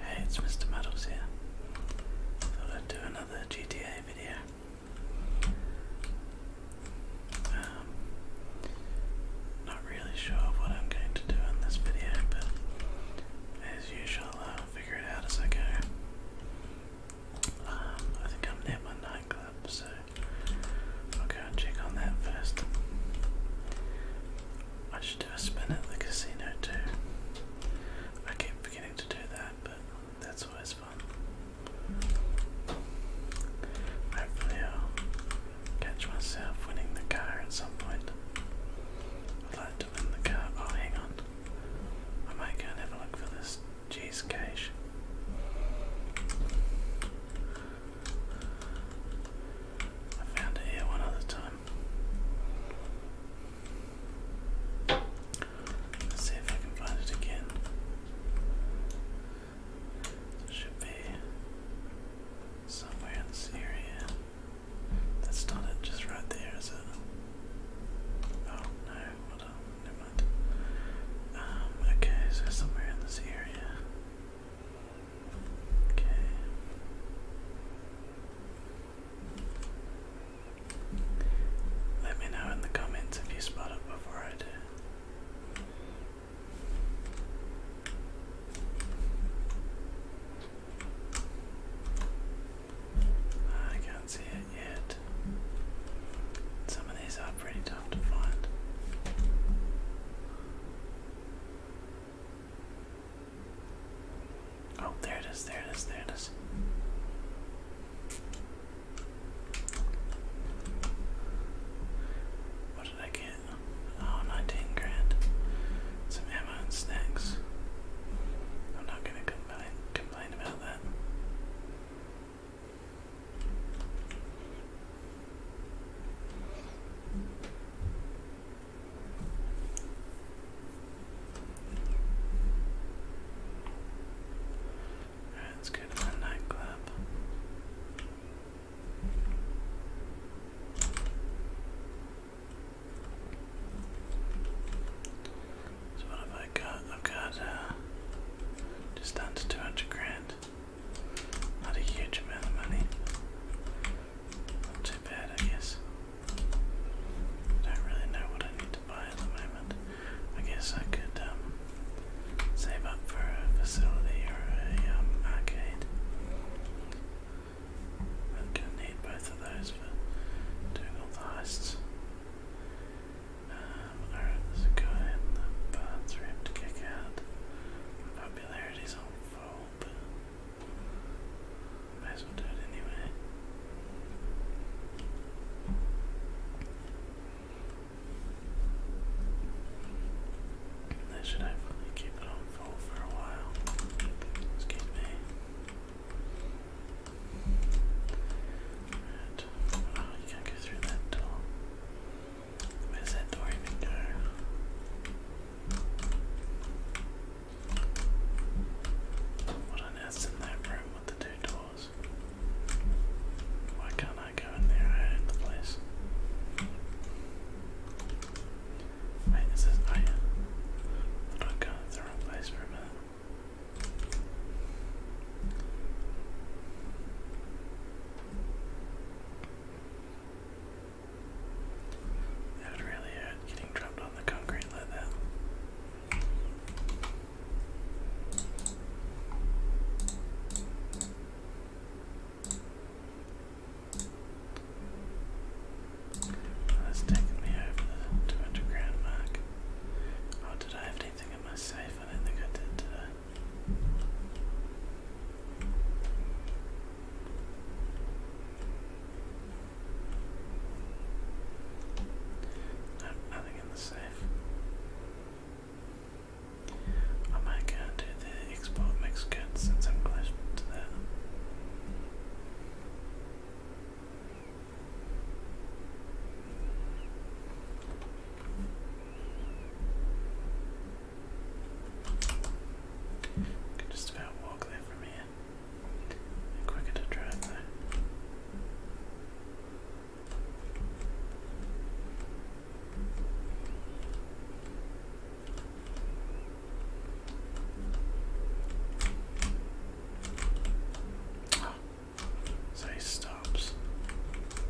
Hey, it's Mr. Meadows here. Thought I'd do another GTA video. Um, not really sure what I'm going to do in this video, but as usual, I'll figure it out as I go. Um, I think I'm near my nightclub, so I'll go and check on that first do a spin at the casino too. I keep forgetting to do that, but that's always fun. Hopefully, I'll catch myself winning the car at some point. I'd like to win the car. Oh, hang on. I might go and have a look for this cheese cache. I found it here one other time Let's see if I can find it again. should be somewhere in this area. That's not it, just right there, is it? Oh no, hold Um, okay, so somewhere in this area. Let me know in the comments if you spot it before I do. Ah, I can't see it yet. Some of these are pretty tough to find. Oh, there it is, there it is, there it is. What did I get? Oh, grand. Some ammo and snacks. I'm not gonna complain, complain about that. That's good. nightclub. So what have I got? I've got uh, just under 200 grand. Not a huge amount of money. Not too bad, I guess. Don't really know what I need to buy at the moment. I guess I could um, save up for a facility or a um, arcade. I'm gonna need both of those for doing all the heists. there's a guy in the bathroom to kick out. popularity's on full, but I as well do should keep it on full for a while. Excuse me. Oh, you can't go through that door. Where that door even go? What on earth's in that room with the two doors? Why can't I go in there? I own the place. Wait, is this oh yeah. I don't to the wrong place for a minute. That would really hurt getting dropped on the concrete like that. That's taken me over 200 grand mark. Oh, did I have anything in my safe? I don't think I did, I'm nothing in the safe. I might go and the export mixed since I'm close to that. I can just about walk there from here. quicker to drive though. so he stops.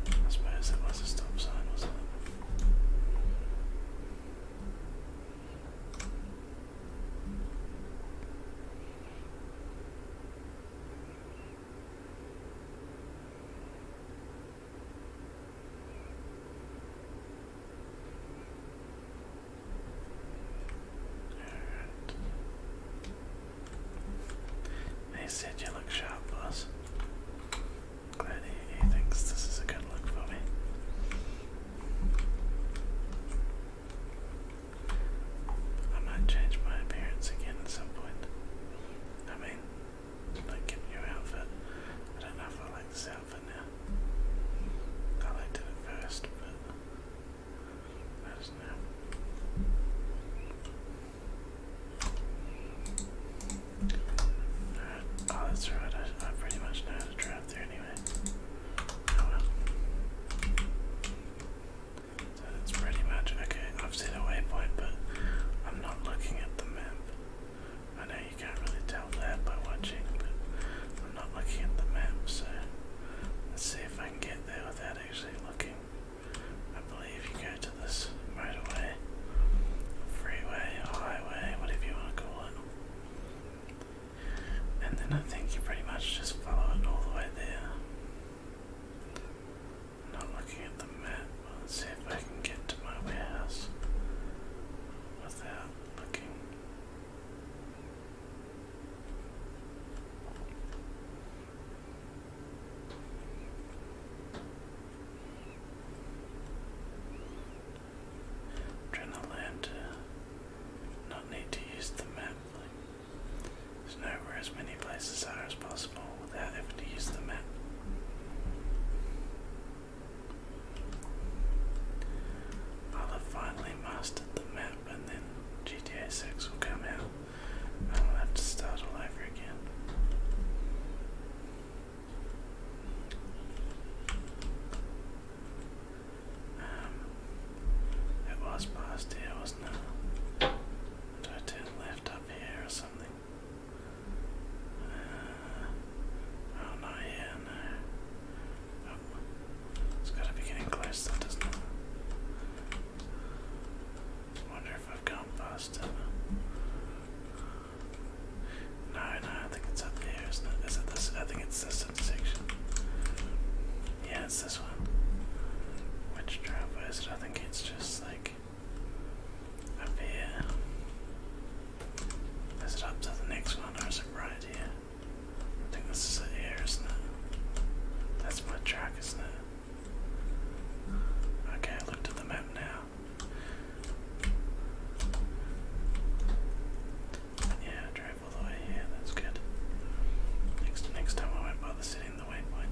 I suppose that was a stop sign, wasn't it? They said you look sharp, boss glad thinks this is a good look for me. I might change my appearance again at some point. I mean, like get a outfit. I don't know if I like this outfit now. I liked it first, but I just know. Alright, oh that's right, I, I pretty much know how to drive there anyway. Oh, so that's pretty much okay. I've seen a waypoint, but I'm not looking at the map. I know you can't really tell that by watching, but I'm not looking at the map, so let's see if I can get there without actually looking. I believe you go to this motorway, freeway, highway, whatever you want to call it. And then I think you pretty much just follow it all the way there. Not looking at the map, let's see if I can get to my warehouse without looking trying to learn to uh, not need to use the map. Like, know where as many places are as possible without having to use the map. I'll have finally mastered the map and then GTA 6 will come out and I'll have to start all over again. Um, it was past here, wasn't it? Did I turn left up here or something? Uh, oh, not here, no. Oh, it's gotta be getting close, though, doesn't wonder if I've gone past it. No, no, I think it's up here. Is isn't it? Is it this? I think it's this section. Yeah, it's this one. Which driveway is it? I think it's just like up here. Is it up to the next one or is it right here? I think this is it here, isn't it? That's my track, isn't it? Okay, I looked at the map now. Yeah, drive all the way here, that's good. Next next time I won't bother sitting in the waypoint.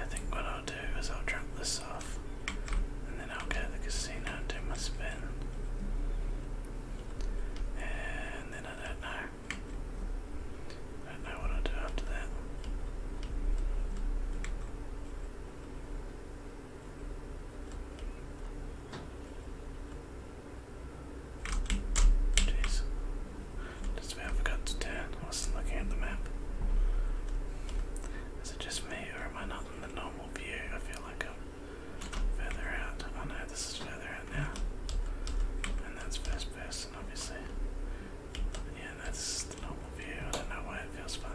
I think what I'll do is I'll drop this off and then I'll go to the casino and do my spin. And then I don't know. I don't know what i do after that. Jeez. Just about forgot to turn. I wasn't looking at the map. Is it just me or am I not in the normal view? I feel like I'm further out. Oh no, this is further and that's first person, obviously. Yeah, that's the normal view. I don't know why it feels funny.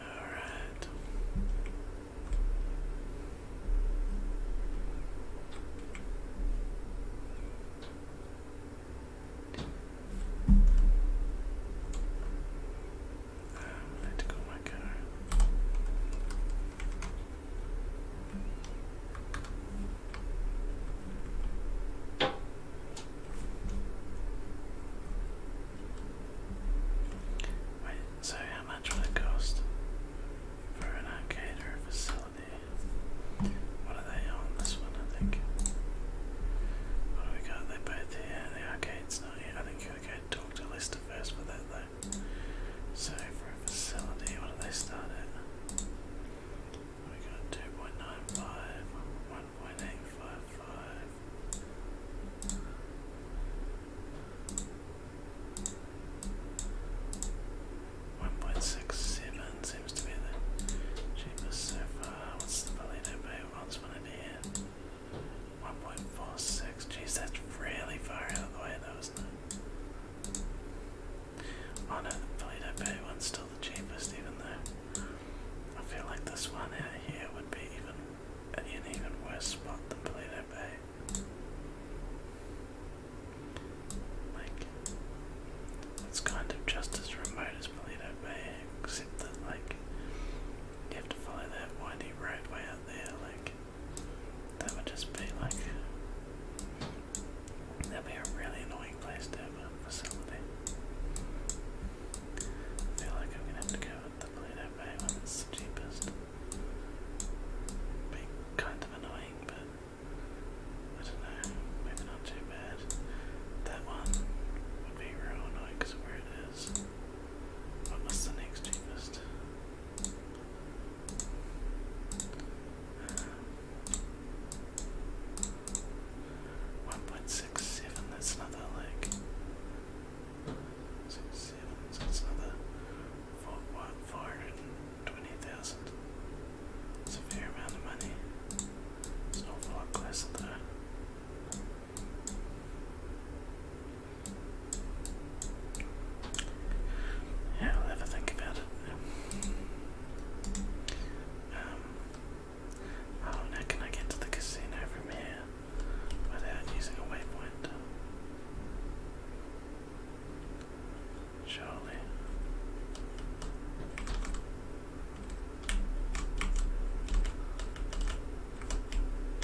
All right. I need go my car. Wait, so how much would it cost for an arcade or a facility? What are they on this one, I think? What do we got? They both here, the arcade's not here. I think you gotta Lister first for that So for a facility, what do they start at? We got 2.95, one point eight five five. One point six seven seems to be the cheapest so far. What's the Palito Bay Odds one in here? One point four six. Jeez, that's really far out of the way though, isn't it? Oh no, the Palito Bay one's still the cheapest, even though I feel like this one out here would be even an even worse spot than Pluto Bay. Like, it's kind of just as remote as Polito Bay, except that, like, you have to follow that windy roadway out there, like, that would just be, like, that'd be a really annoying place to have a facility. feel like I'm gonna have to go the Play-Doh bag that's cheapest. Be kind of annoying, but I don't know, maybe not too bad. That one would be real annoying because of where it is. What was the next cheapest? 1.67, that's another like six, seven, so it's another 420,000. It's a fair amount of money. It's an awful lot closer though. Yeah, I'll have think about it. Um, now can I get to the casino from without using a waypoint. Surely.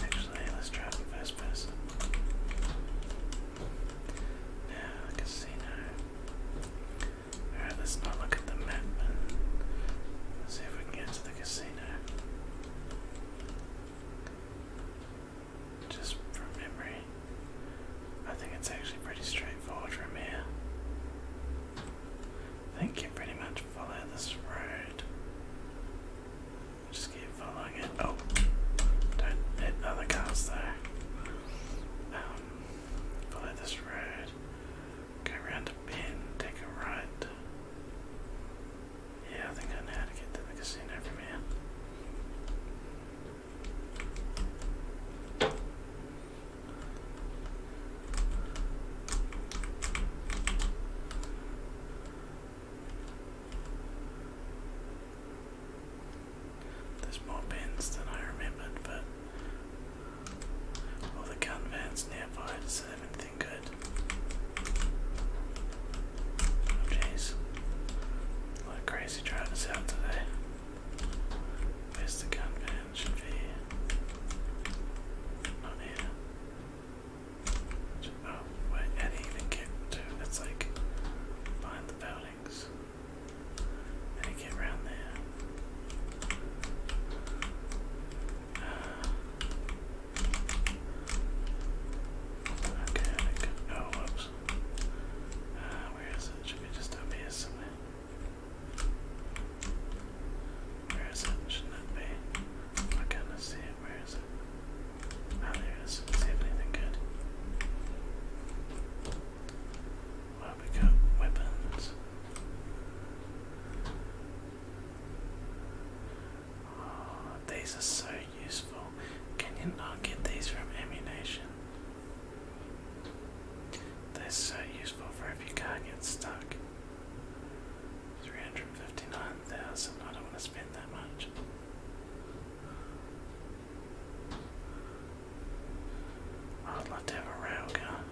Actually, let's try it in first Now, casino. let's not look at the map and see if we can get to the casino. Just from memory, I think it's actually pretty straightforward from here. I think you pretty much follow this road. Just keep following it. Oh, don't hit other cars though. Um, follow this road Go around the bend, take a right. Yeah, I think I know how to get to the casino from here. There's more bins than I remembered, but all the gun vans nearby just Oh, jeez. What crazy drive is today. Where's the gun van? Should be not here. oh, wait, didn't even get to it's like behind the buildings. didn't get around there. Uh, Okay, I can, oh whoops. Uh, where is it? Should be just up here somewhere. Where is it? Shouldn't it be? I can't see it. Where is it? Oh, there it is. Let's see if anything good. Well, we got weapons. Ah, these are so useful. Can you not get these from ammunition? They're so useful for if you can't get stuck. 359,000, I don't want to spend that much. I'd like to have a railgun.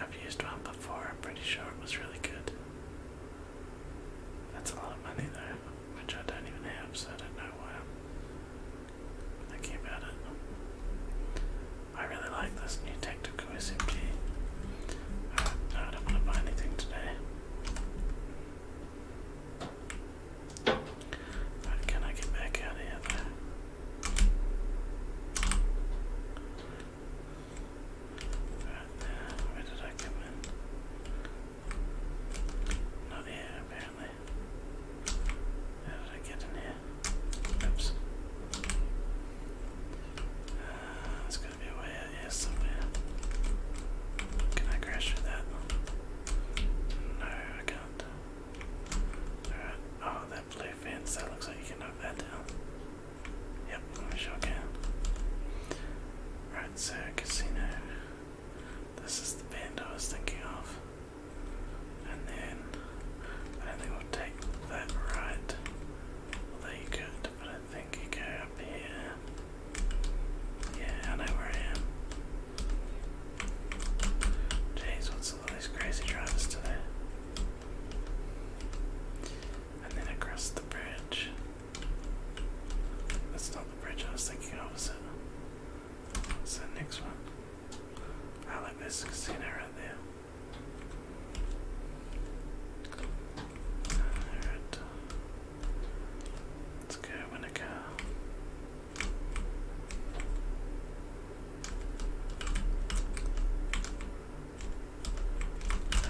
I've used one before, I'm pretty sure it was really good. That's a lot of money though, which I don't even have, so I don't know why I'm thinking about it. I really like this new tactical SMG. I don't want to buy anything today. Right, can I get back out of here where did I come in? Not here, apparently. How did I get in here? Oops. Uh, there's gotta be a way out here somewhere. Can I crash through that? No, I can't. Alright, oh, that blue fence, that looks like you can knock that down. Yep, let me show again. Right, so casino. This is the band I was thinking of. And then I don't think we'll take that right. Although could, but I think you go up here. Yeah, I know where I am. Jeez, what's all these crazy drivers today? And then across the bridge. That's not the bridge I was thinking of, is it? It's the next one. I like this casino right there. Alright. Let's go win that.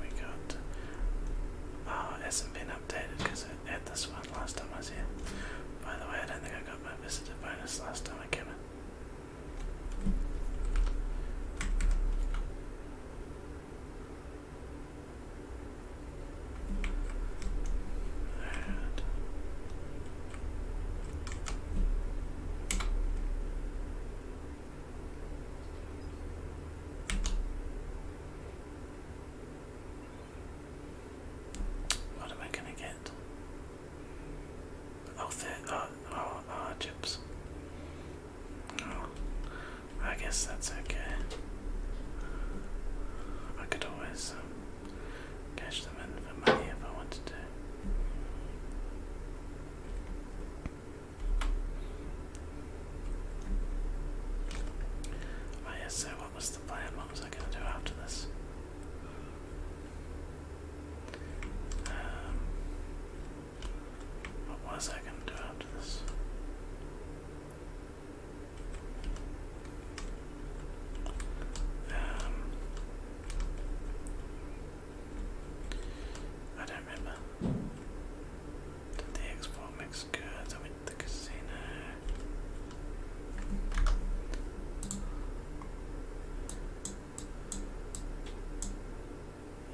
we got? Oh, uh, it hasn't been updated because I had this one last time I was here. By the way, I don't think I got my visitor bonus last time I came in what am I going to get? Oh, there, uh, oh, oh, oh, chips. Oh, I guess that's okay. I could always um, cash them in for money if I wanted to. Oh yes, so what was the plan? What was I going to do after this? Um, what was I gonna do after this? Um, I don't remember. Did the export mix goods? I went to the casino.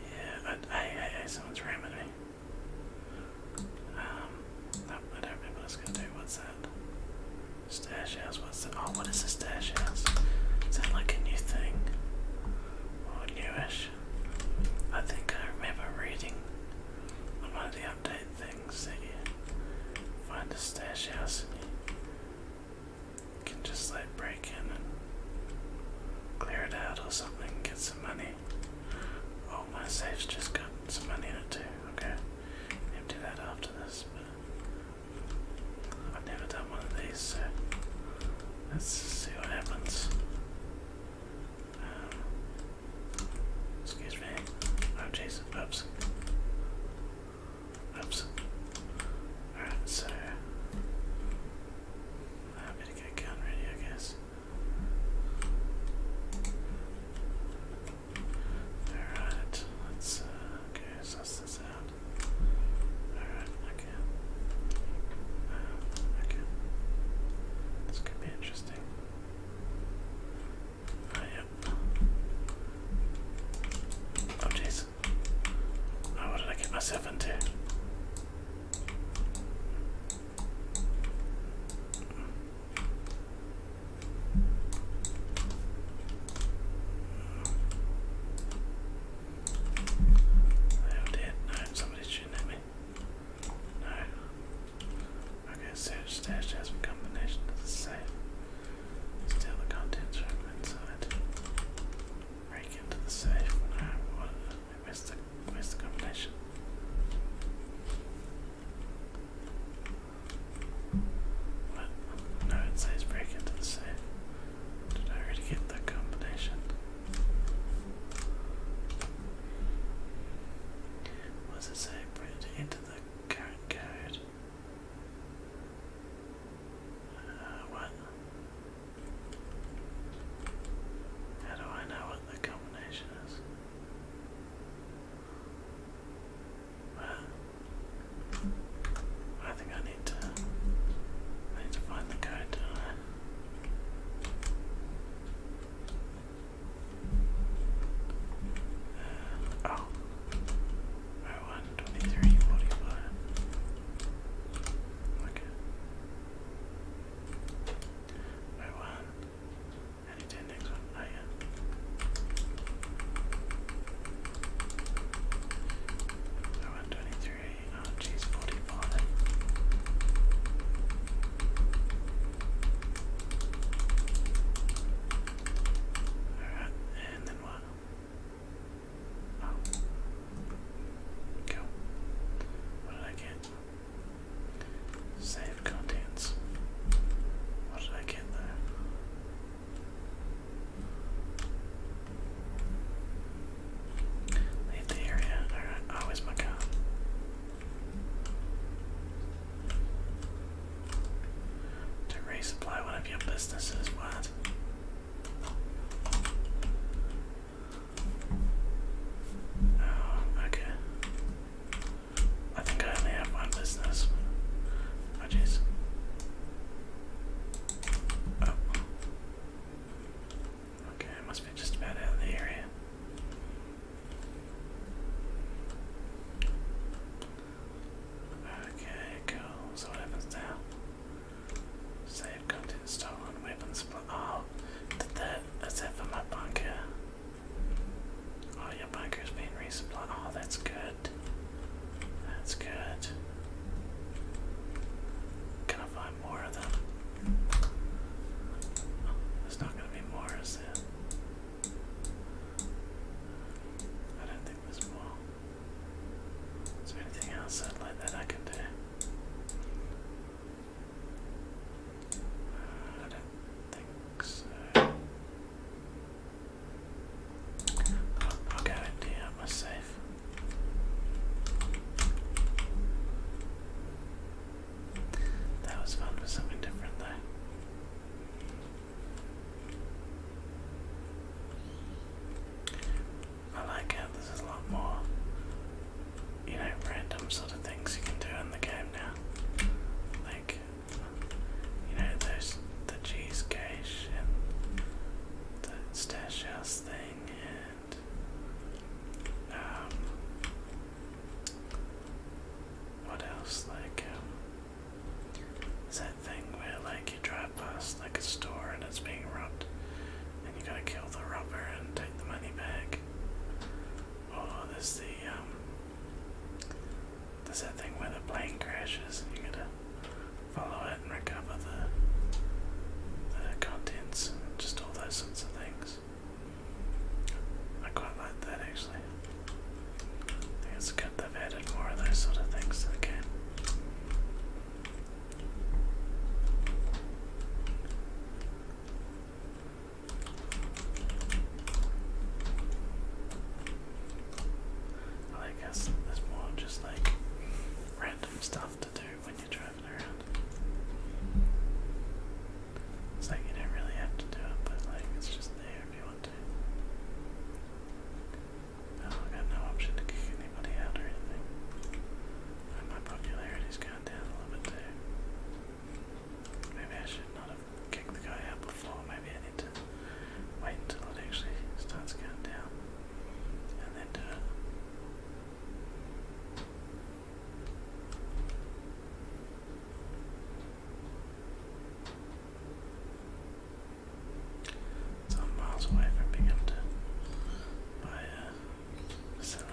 Yeah, I, I, I, someone's ramming me. Um, I, don't remember what gonna do. What's that? Stash house. What's that? Oh, what is a stash house? Is that like a new thing? Or newish? I think I remember reading on one of the update things that find a stash house can just like break in and clear it out or something, get some money. Oh, my safe's just got some money in it too. Okay, empty that after this. But I've never done one of these, so let's see what happens. Um, excuse me. Oh, Jesus, oops. Oops. Alright, so I'm get gun ready, I guess. Alright, let's, uh, okay, so that's this out. Alright, okay. Um, okay. This could be interesting. Oh, yep. Oh, jeez. I Oh, what did get myself into? They dead. No, somebody's shooting at me. No. Okay, search stash has become the the safe. Steal the contents from inside break into the safe what, I the, missed the combination. What? No, it says break into the safe. Did I already get the combination? What it say? To enter the current code. Uh, what? How do I know what the combination is? Well, I think I need to need to find the code, do I? Uh, oh, oh Okay. No one. And you do the next one. Oh yeah. No one twenty-three. Oh geez, forty-five. Alright, and then what? Go. What did I get? Save contents. What did I get there? Leave the area. Alright, oh, my car. To resupply one of your businesses, what? Oh, okay. I think I only have one business. Oh jeez. Oh. Okay, I must be just about out of the area. Okay, cool. So what happens now? Save content stolen, weapons supply. Oh, that, is that for my bunker? Oh, your bunker's resupplied. Oh, that's good. That's good. Can I find more of them? there's not going to be more, is there? I don't think there's more. Is there anything else that, like that I can do? I don't think so. I'll, I'll go my safe. That was fun for something different though. I like how there's a lot more, you know, random sort of things you can do in the game now. Like, you know, there's the cheese cache and the stash house thing and um what else like um is that thing where like like you drive past like a store and it's being robbed, and you gotta kill the robber and take the money back. Oh, there's the um, there's that thing where the plane crashes and you gotta follow it and recover the the contents and just all those sorts of things. I quite like that actually. I think it's good they've added more of those sort of things to the game. I guess there's more just like random stuff to do when you're driving around. It's like you don't really have to do it, but like it's just there if you want to. I got no option to kick anybody out or anything. my popularity's gone down a little bit there. Maybe I should not have kicked the guy out before. Maybe I need to wait until it actually starts going down. And then do it. So i miles away from being able to buy a facility.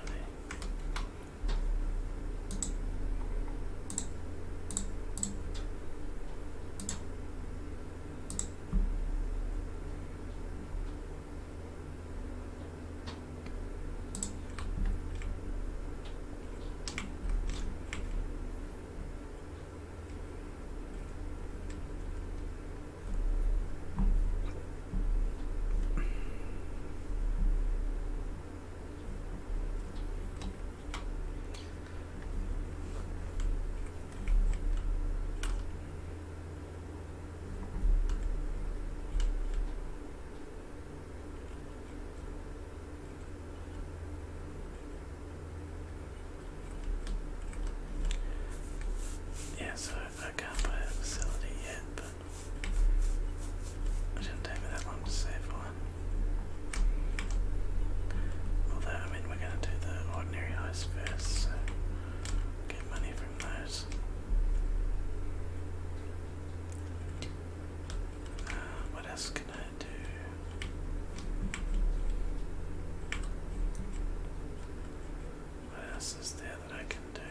Yeah, so I can't buy a facility yet, but it didn't take me that long to save one. Although, I mean, we're going to do the ordinary heist first, so get money from those. Uh, what else can I do? What else is there that I can do?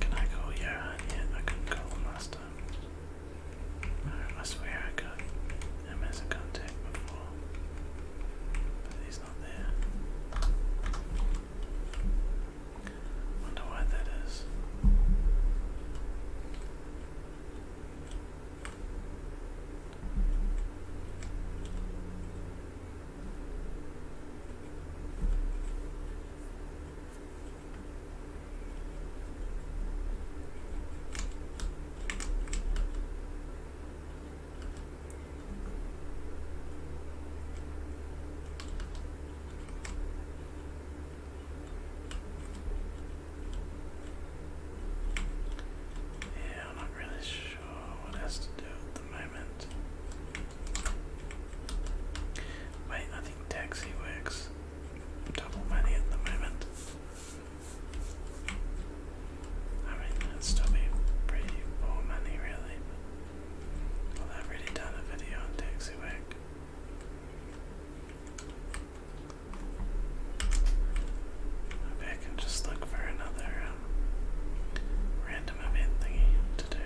Can I go Johan yet? I could call him I swear I got him as a contact before. But he's not there. Wonder why that is. Yeah, I'm not really sure what has to do at the moment. Wait, I think taxi works. Double money at the moment. I mean, that still pretty poor money, really. Well, I've already done a video on Taxiwack. Maybe I can just look for another um, random event thingy to do.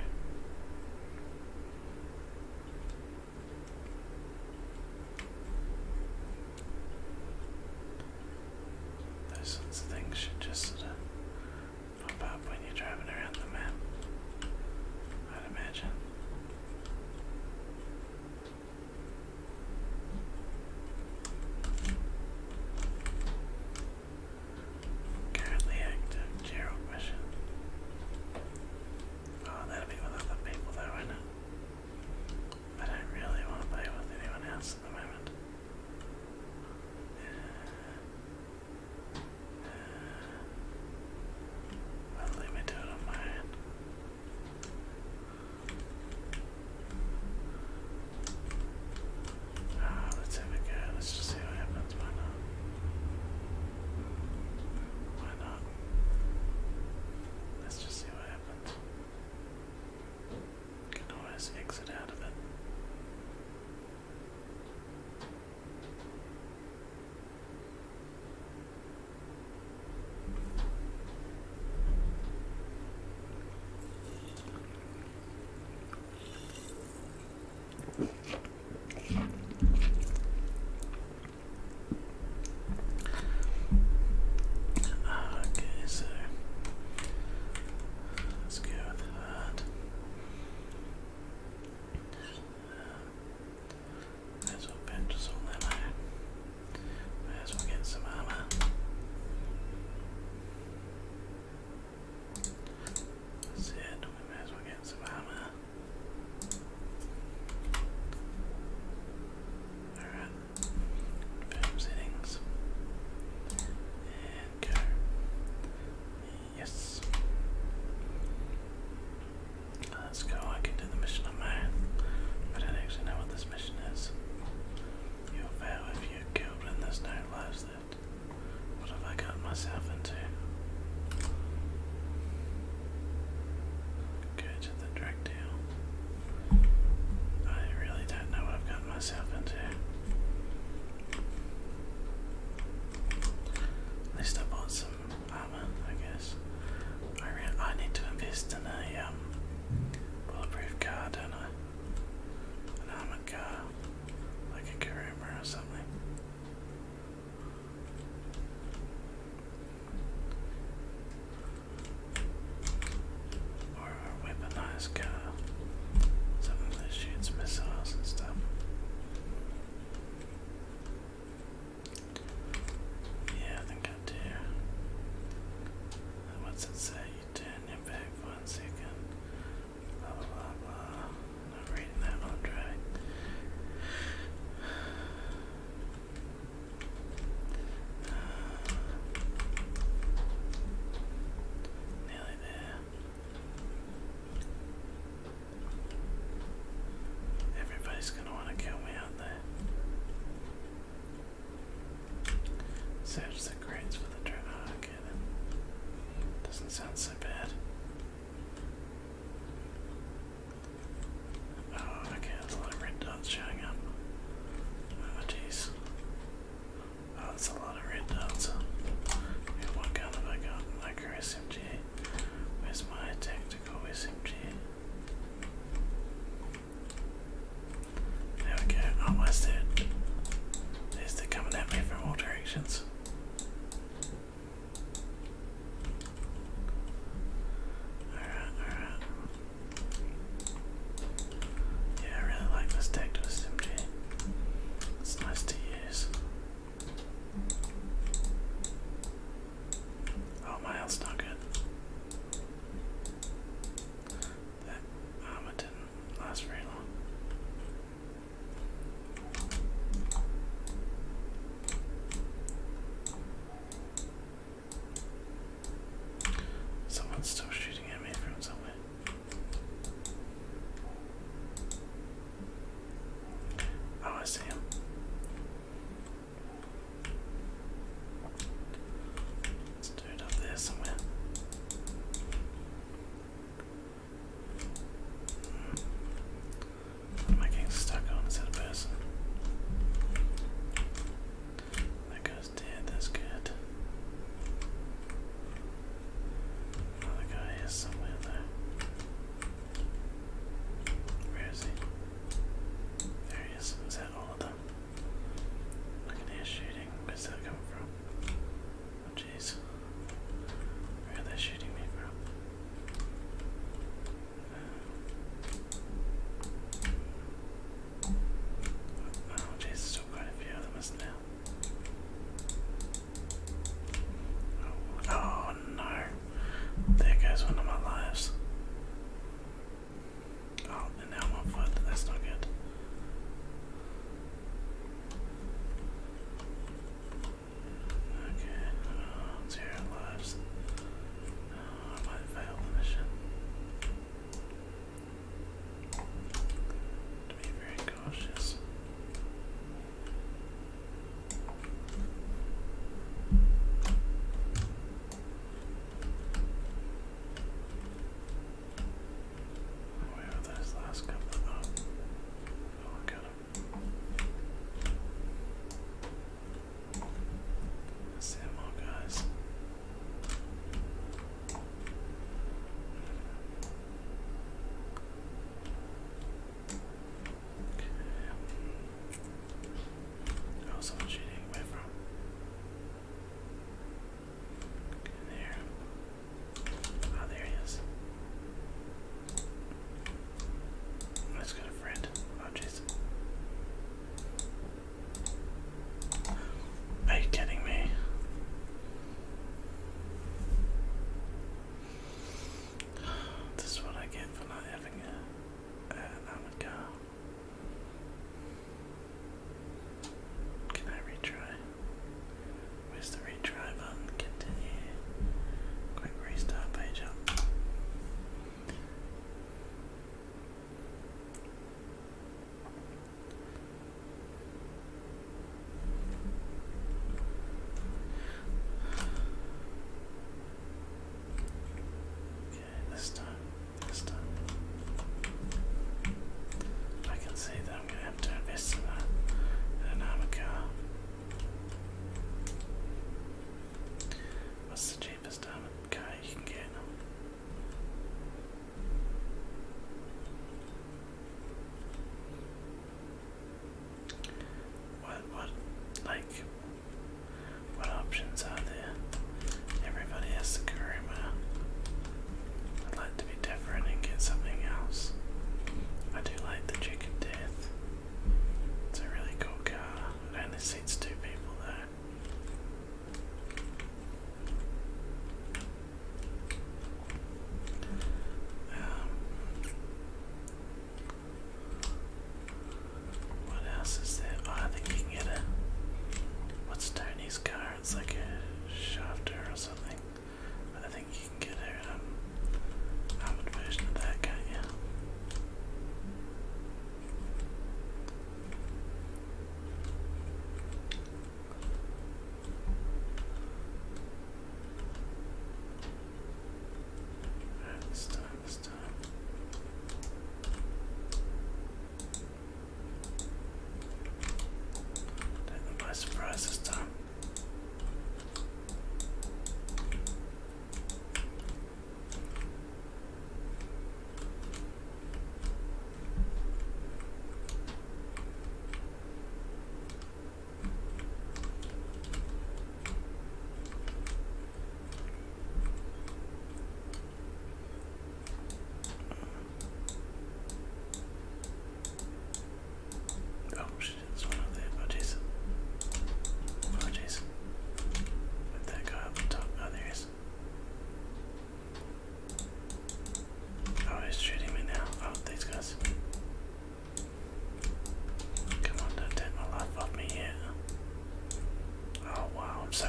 Those sorts of things should just pop up when you're driving around the map, I'd imagine. Currently active Gerald mission. Oh, that'll be with other people though, isn't it? I don't really want to play with anyone else at the moment. Well, let on mine. Ah, let's have a go. Let's just see what happens. Why not? Let's just see what happens. Can always exit out of it. Okay, so let's go with that. Uh, might as well purchase all ammo. Might as well get some armor. That's it, we may as well get some armor. Alright, settings. And go. Yes. Let's go. I can do the mission on my I don't actually know what this mission is. You'll fail if you're killed there's no lives left. What have I got myself into? Go to the drug deal. I really don't know what I've got myself into. At least I bought some armor, I guess. I I need to invest in a um, bulletproof car, don't I? An armored car, like a Karuma or something. Or a weaponized Something that shoots missiles and stuff. Yeah, I think I do. What's it say? You turn your back for one second. Blah blah blah I'm reading that one nearly there. Everybody's gonna want to kill me out there. Search the crates for the turn. Ah, okay, doesn't sound so bad. Oh, okay, there's a lot of red dots showing up. Oh, jeez. Oh, that's a lot of red dots. what gun have I got? Micro SMG. Where's my tactical SMG? There we go. Oh, why's they're coming at me from all directions. Alright, alright. Yeah, I really like this tactical SMG. It's nice to Oh, my health's not good. That armor didn't last very long. Someone's still shooting at me from somewhere. Oh, I see him. up there somewhere. Hmm. am I getting stuck on? Is that person? That goes dead, that's good. Another guy is somewhere though. Where is he? There he is. Is that all of them? I can hear shooting. Where's that come from? Oh jeez. Where they shooting me from? Uh, oh jeez, there's still quite a few them, Oh, no. There goes one of my lives. Oh, and now one foot. That's not good. Okay, oh, zero lives. Oh, I might fail the mission. To be very gosh, Where oh, are those last couple of Oh, I see them guys. Okay. Oh, someone's from. there. Ah, there he is. Let's go to friend. Oh, jeez. Are you kidding me? This is what I get for not having a, an armored Can I retry? Where's the retry button? Continue. Quick restart page up. Okay, this time, this time. I can see that I'm gonna have to invest in that in an car. What's the cheapest diamond car you can get? now? What, what, like, what options are there? Everybody has the Karima. I'd like to be different and get something else. I do like the Chicken Death. It's a really cool car. It only seats two people though. Um, what else is there? Oh, I think you can get a. What's Tony's car? It's like a shafter or something. I think you can get a um, armored version of that, can't this time, this time. Take them by surprise this time. Oh shit, there's one up there. Oh jeez. Oh that guy up the top. Oh, there he Oh, he's shooting me now. Oh, these guys. Come on, don't take my life off me yet. Oh wow, I'm so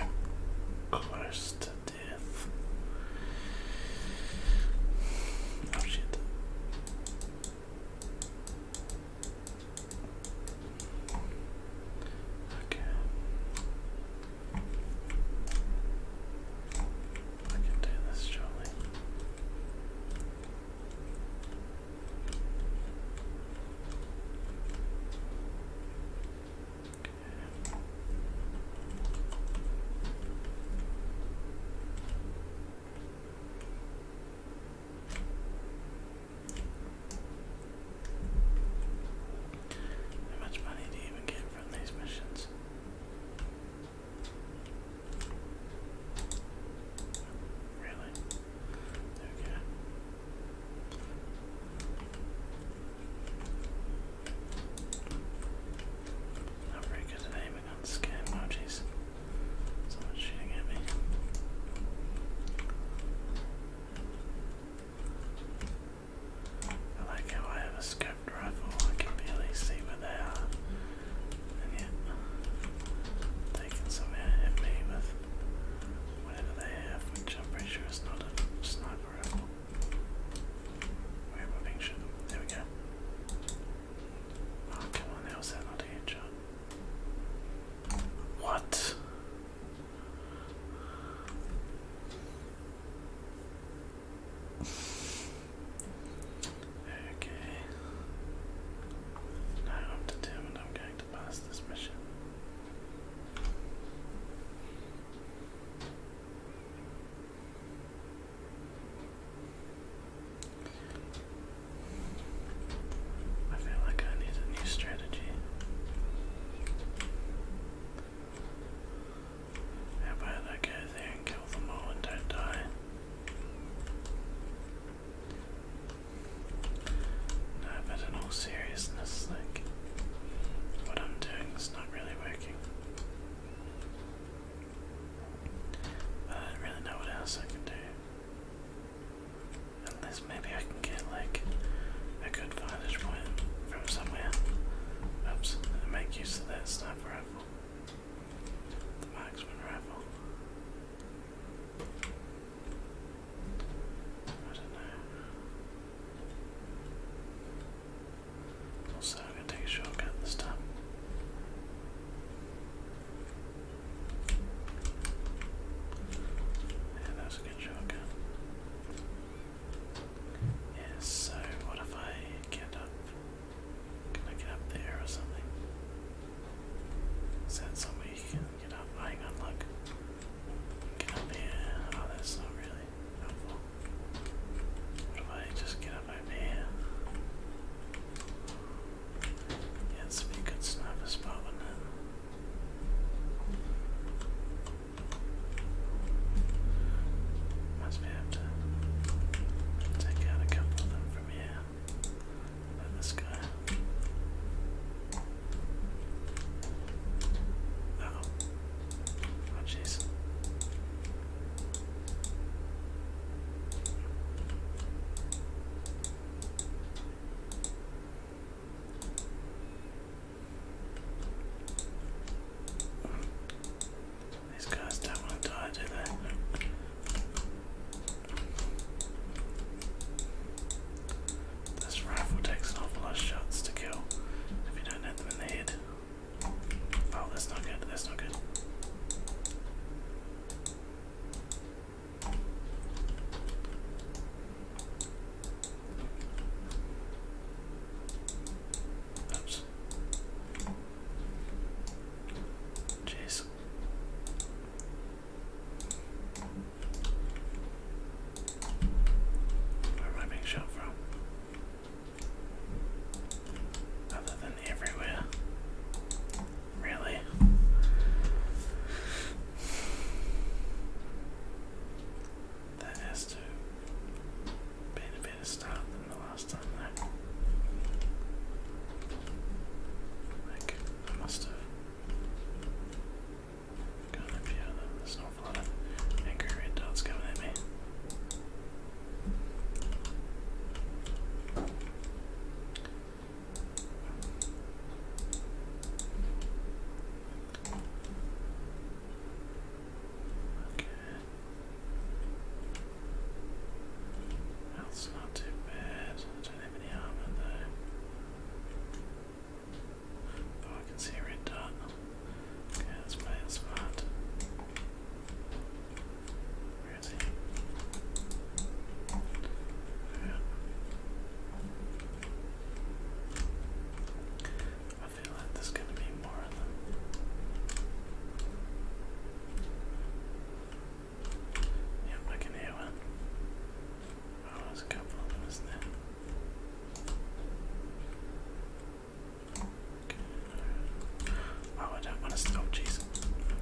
close to death. Oh shit. Okay. How much money do you even get from these missions? Really? Okay. Not very good at aiming on this game, oh jeez. Someone's shooting at me. I like how I have a scope rifle. I can barely see where they are, and yet they can somehow hit me with whatever they have, which I'm pretty sure is not a sniper rifle. Where am I being There we go. Ah, come on, how's that not a headshot? What? Okay. Now I'm determined I'm going to pass this mission. I feel like I need a new strategy. How about I go there and kill them all and don't die? No, but in all seriousness, like, what I'm doing is not really working. I don't really know what else I can do. Unless maybe I can get, like, a good vantage point from somewhere. Oops, make use of that sniper rifle the Maxman rifle. I don't know. Also, I'm going to take a shortcut this time. Yeah, that was a good shortcut. Yes, so what if I get up? Can I get up there or something? Is that somewhere you can get up? Oh, hang on, look. Get up here. Oh, that's not really helpful. What if I just get up over here? Yeah, it's a good sniper spot, wouldn't it? we have to take out a couple of them from here. this guy. Oh jeez. These guys don't want to die, do they? This rifle takes an awful lot of shots to kill if you don't hit them in the head. Oh, that's not good, that's not good. Jeez. Where am I being shot from? Other than everywhere. Really? That has to be the stop the last time there. Like, I must have gone up here, though. There's an angry red dots coming at me. That's not too bad. I don't have any armor though. Oh, I can see red dot. Okay, let's play it smart. Where is Yeah. I feel like there's going to be more Yep, I can hear one. Oh, there's a couple of them, there? Oh, I don't want to stop, oh, jeez.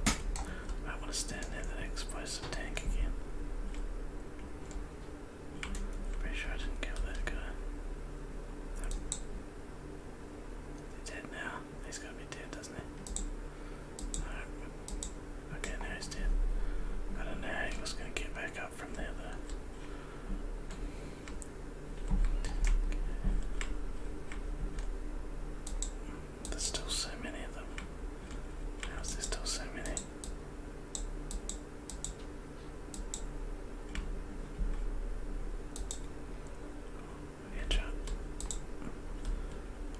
I want to stand near that explosive tank again. Pretty sure I kill that guy. Nope. dead now he's gotta be dead, doesn't he? Okay, now he's dead. I don't know how he was gonna get back up from there though. There's still so many of them. How is there still so many?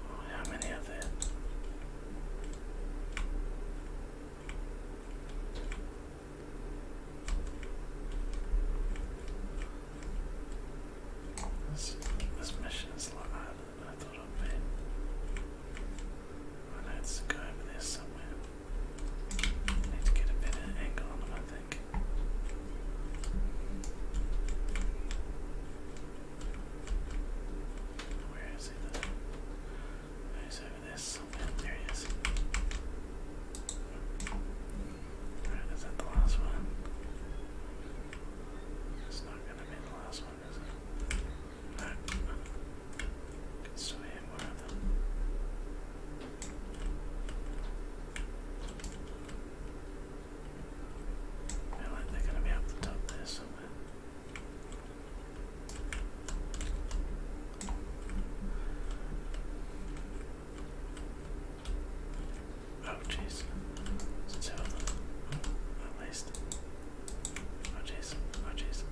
how many of that? This, mission is a lot harder than I thought it would be. I know it's over there somewhere. need to get a better angle on him, I where is he though? He's there somewhere. There is. that the last one? It's not gonna be the last one, is it? No. They're gonna be up the top there somewhere. Oh jeez. It's oh, at least. Oh jeez. Oh jeez.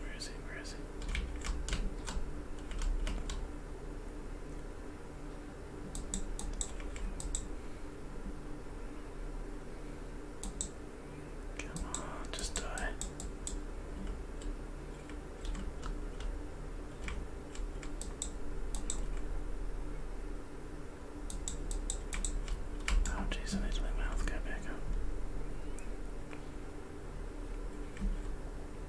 Where is he? Where is he? Come on, just die. Oh jeez, I need to make my mouth go back up.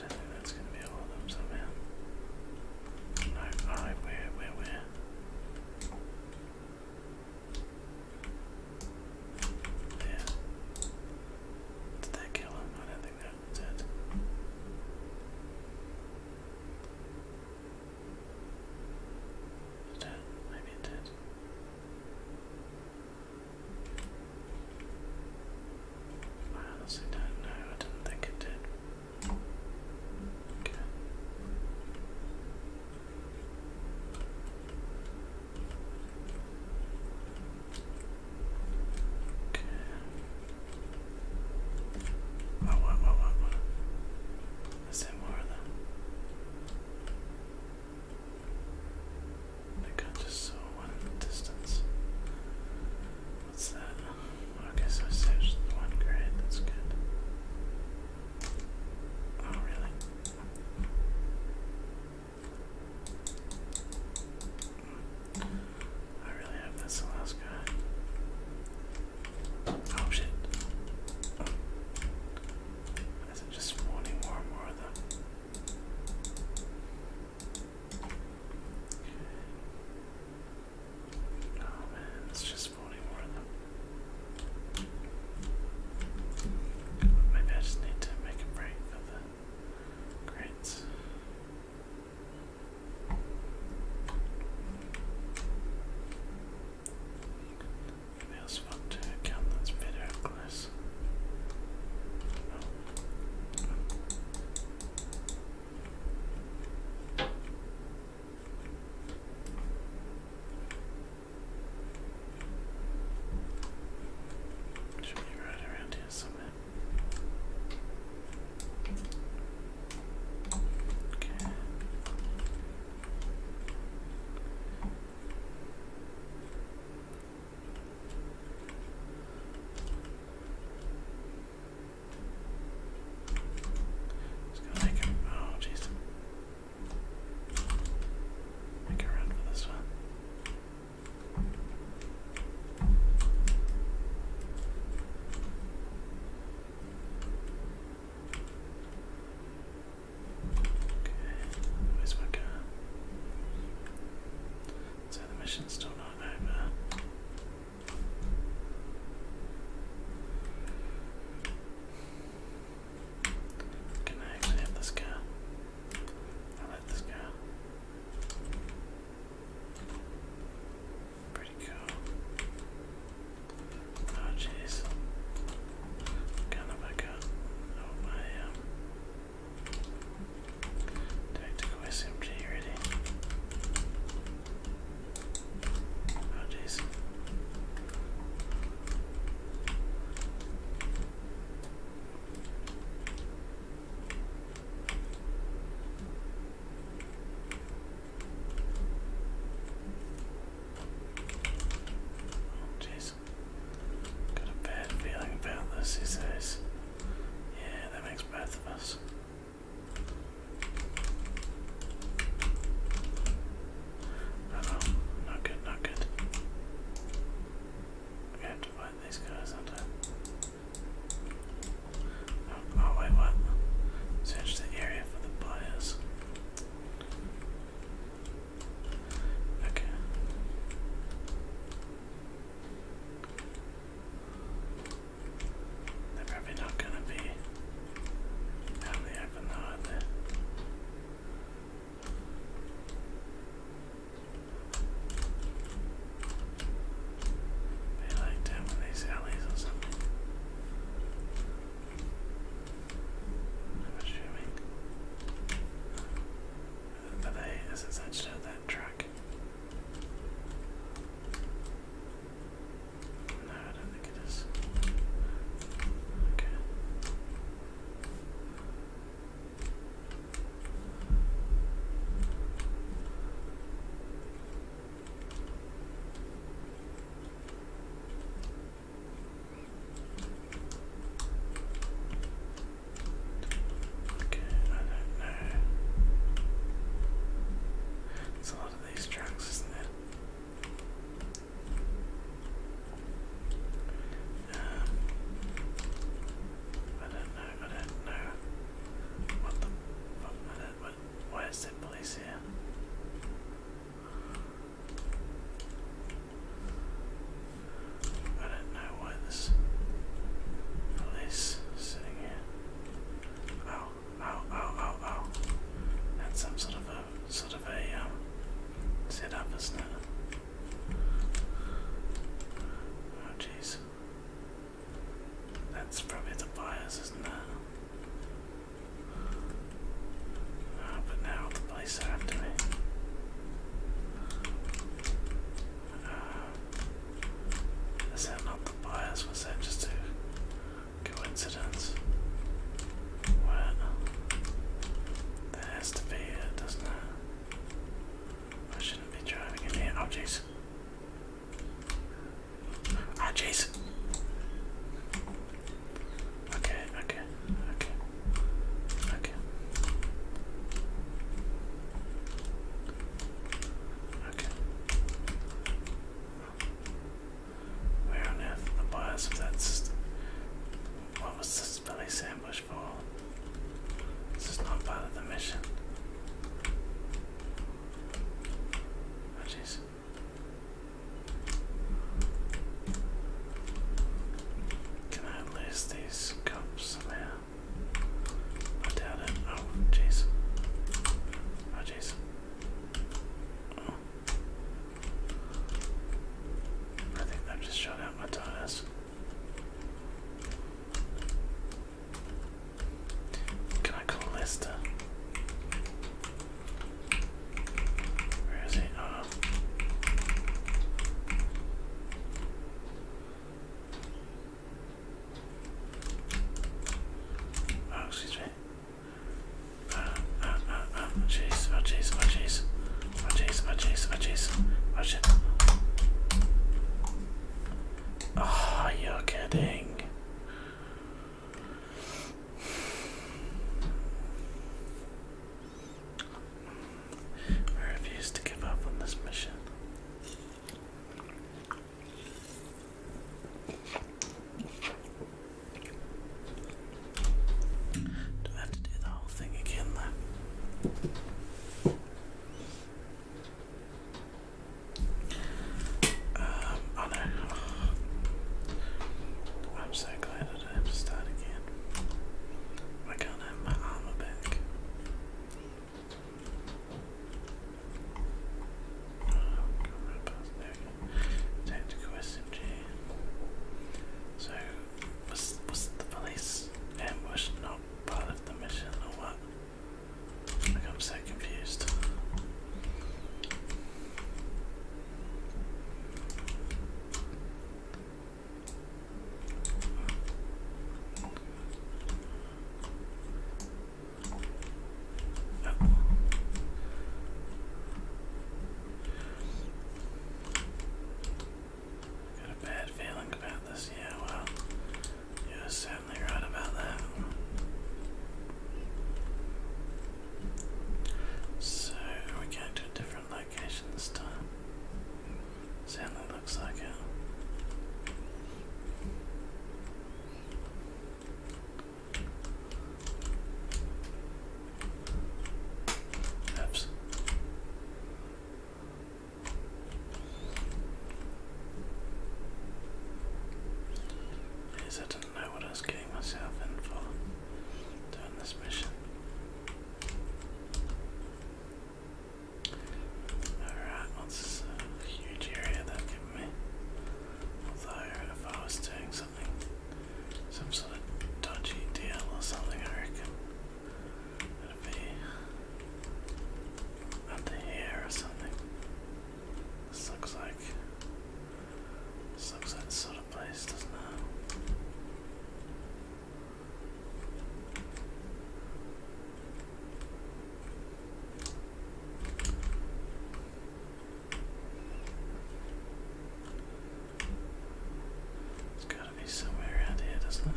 I don't think that's gonna be all of them somehow. alright, where, where, where? There. Did that kill him? I don't think that did. Did Maybe it did. I honestly don't know. I didn't think it did. Okay. Okay. What, what, more of them? I just saw one in the distance. What's that? Okay, so I the one grade, that's good. Oh, really? I really hope that's the last guy. Oh shit. Is it just spawning more and more of them? Oh man, it's just 44 of them. Maybe I just need to make a break for the crates. Maybe I'll swap to count that's better up should be right around here somewhere. Okay. Just gonna make him. Oh, jeez. Make a run for this one. Okay, where's my car? So the mission's still not over. Can I actually this guy? I like this guy. Pretty cool. Oh jeez. Kind of back up. Oh my um Tactical SMG ready. Oh jeez. Oh jeez. Got a bad feeling about this, he says. Yeah, that makes both of us not good, not good. We have to fight these guys, do oh, oh wait, what? Search the area for the buyers. Okay. They're probably not gonna be out the open though, are like down in these alleys or something. I'm assuming. But they is essentially that track. No, I don't think it is. Okay. Okay, I don't know. It's a lot of these tracks, isn't it? Um, I don't know, I don't know. What the I don't, what, why is there police here? I don't know why this police is here. Oh. Oh oh, oh, oh, oh. That's some sort of a sort of a um, setup, isn't it? Oh jeez. That's probably the bias, isn't it? Oh, but now the are after me. Um, is that not the bias? Was that just a coincidence? What? That has to be it, doesn't it? I shouldn't be driving in here. Oh, jeez. Ah, oh, Okay, okay, okay, okay. Okay. Where on earth the bias of that system? What was this police ambush for? This is not part of the mission. Oh Can I lose these cops somehow? I doubt it. Oh jeez. Oh jeez. I think that just shot out my tires. Can I call Lester? Where is he? Oh. Oh, excuse me. Oh, oh, oh, oh, jeez, oh, jeez, oh, jeez. Oh, jeez, oh, jeez, oh, jeez. Oh, shit. Oh, you're kidding. I refuse to give up on this mission. Do I have to do the whole thing again though? Um, oh I'm so glad that I have to start again. I can't have my armor back. Tactical SMG. So, was, was the police ambush not part of the mission or what? I'm so confused. Got a bad feeling about this, yeah, well, you're certainly right about that. So, we going to a different location this time? Certainly looks like it. Oops. I didn't know what I was getting myself in for doing this mission. Alright, what's well, a uh, huge area that can escaping if I was doing something, some sort of dodgy deal or something, I reckon it'd be under here or something. This looks like. This looks like the sort of place, doesn't it? It's gotta be somewhere around here, doesn't it?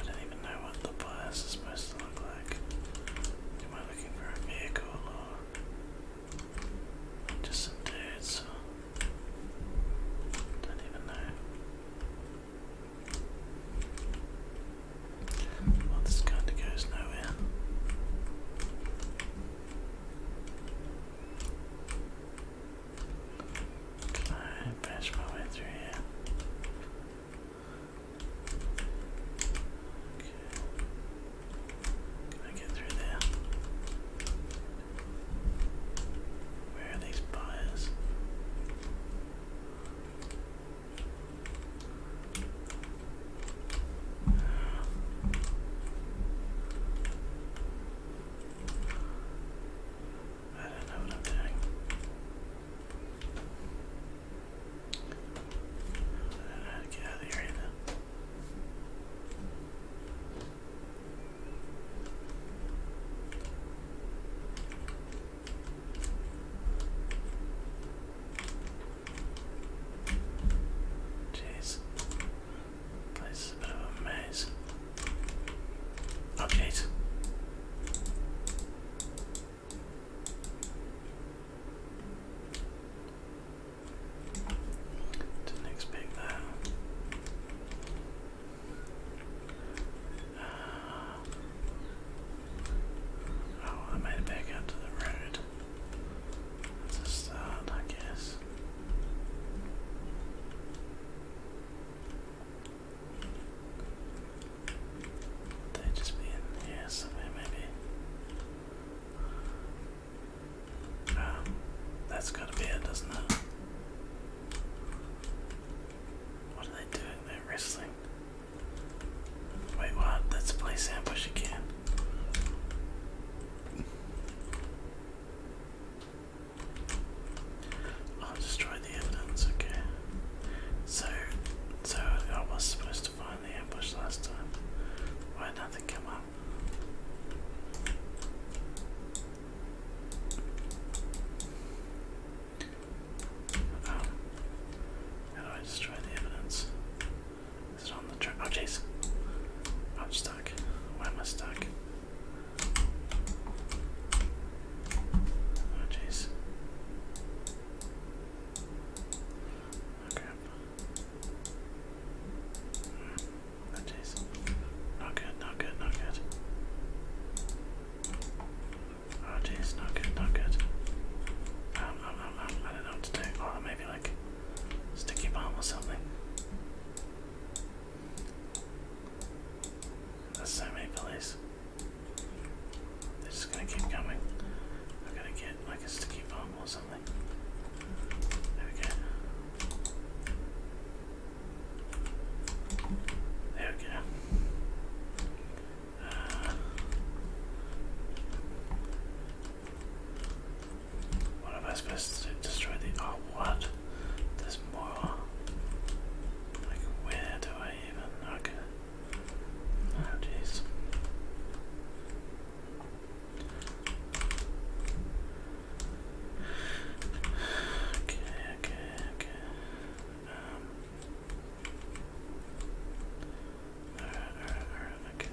I don't even know what the bias is supposed to look like. Am I looking for a vehicle or just some dudes? Don't even know. Well, this kind of goes nowhere. Can I bash my way through here? Okay. Can I get through there? Where are these buyers? I don't know what I'm doing. I do to get out of here either. Jeez. Place a bit of a maze. Update. Oh, Didn't expect that oh, I made it back out to the road. That's a start, I guess. they just be here somewhere, maybe? Um, that's gotta be it, doesn't it? What are they doing? they wrestling. Wait, what? Let's place ambush again. I'll the evidence, okay. So, so I was supposed to find the ambush last time. Why did nothing come up? Um, how do I destroy the evidence? Is it on the track? Oh jeez. I'm stuck. Why am I stuck? Oh jeez. Oh crap. Hmm. Oh jeez. Not good, not good, not good. Oh jeez, not good, not good. Um, um, um, I don't know what to do. Oh, maybe like sticky bomb or something. There's so many police. They're just gonna keep coming. I gotta get like a sticky bomb or something. There we go. There we go what am I supposed to Destroy the. Oh, what? There's more. Like, where do I even. Okay. Oh, jeez. Okay, okay, okay. Um, Alright, alright, alright, okay.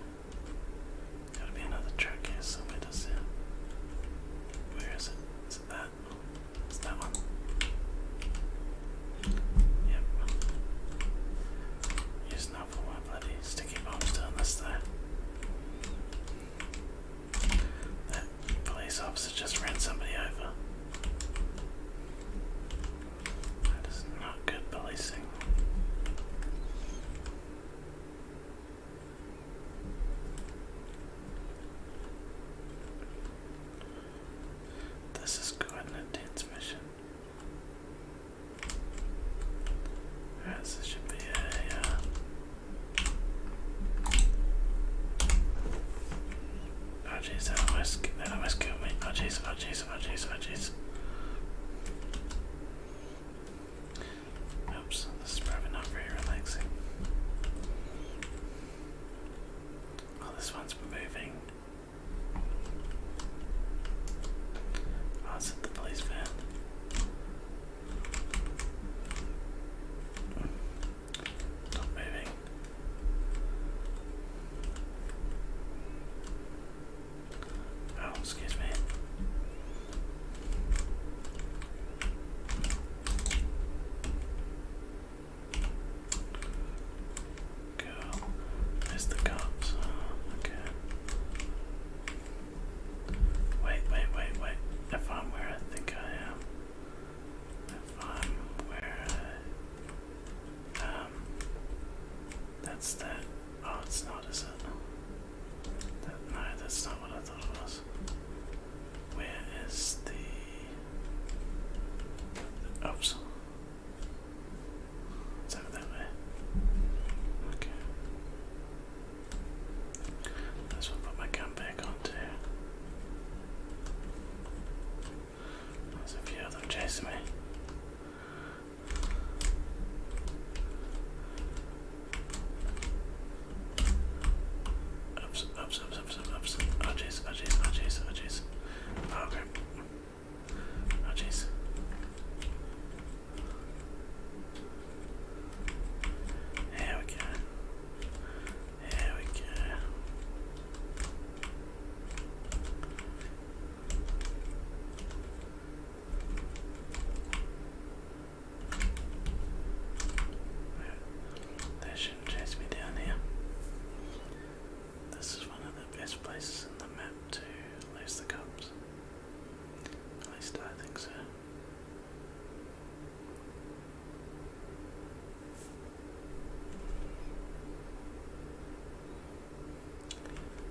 Gotta be another track here somewhere, does it? Where is it? Is it that? that one. Yep. Use now for my bloody sticky bombs down this there. That police officer just ran somebody over. That is not good policing. This is good transmission. Alright, this should be a Oh jeez, that almost, that almost killed me. Oh jeez, oh jeez, oh jeez, oh jeez. Oops, this is probably not very relaxing. Oh, this one's moving. Oh, it's at the police van. Not moving. Oh, excuse me. Go. There's cops. okay. Wait, wait, wait, wait. If I'm where I think I am. If I'm where that's that. Oh, it's not, is it? no, that's not what I thought it was. Where is the... Oops. It's that way. Okay. Let's put my gun back on too. There's a few of them chasing me. Oops, oops, oops, oops, oops, oops. Oh jeez, oh jeez, oh jeez, oh jeez. Oh crap. Here we go. Here we go. That shouldn't chase me down here. This is one of the best places in the map to lose the cops. At least I think so.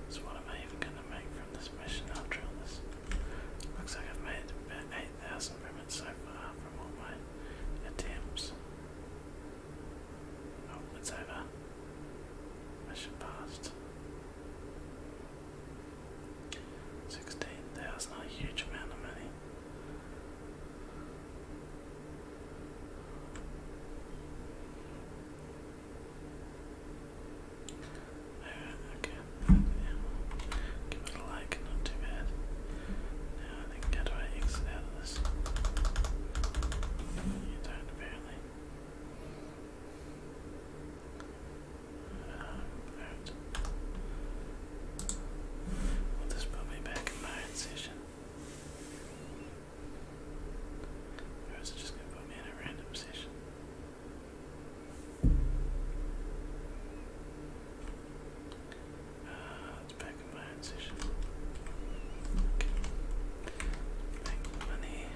So what am I even gonna make from this mission after all this? Looks like I've made about 8,000 ribbons so far from all my attempts. Oh, it's over. Mission passed. 16,000, a huge amount of money. Alright, uh, okay. Give it a like, not too bad. Now how do I exit out of this? You do apparently. Um, alright. Well, this put me back in my session. Or is it just gonna put me in a random position? Uh, it's back in my own Make money.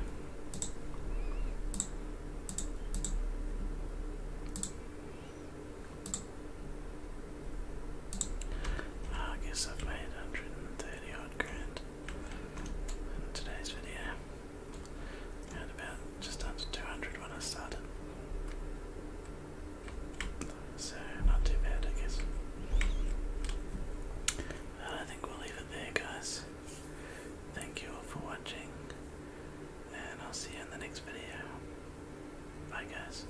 Ah, I guess I've made 130 odd grand in today's video. and about just under 200 when I started. So, not too bad, I guess. I think we'll leave it there, guys. Thank you all for watching, and I'll see you in the next video. Bye, guys.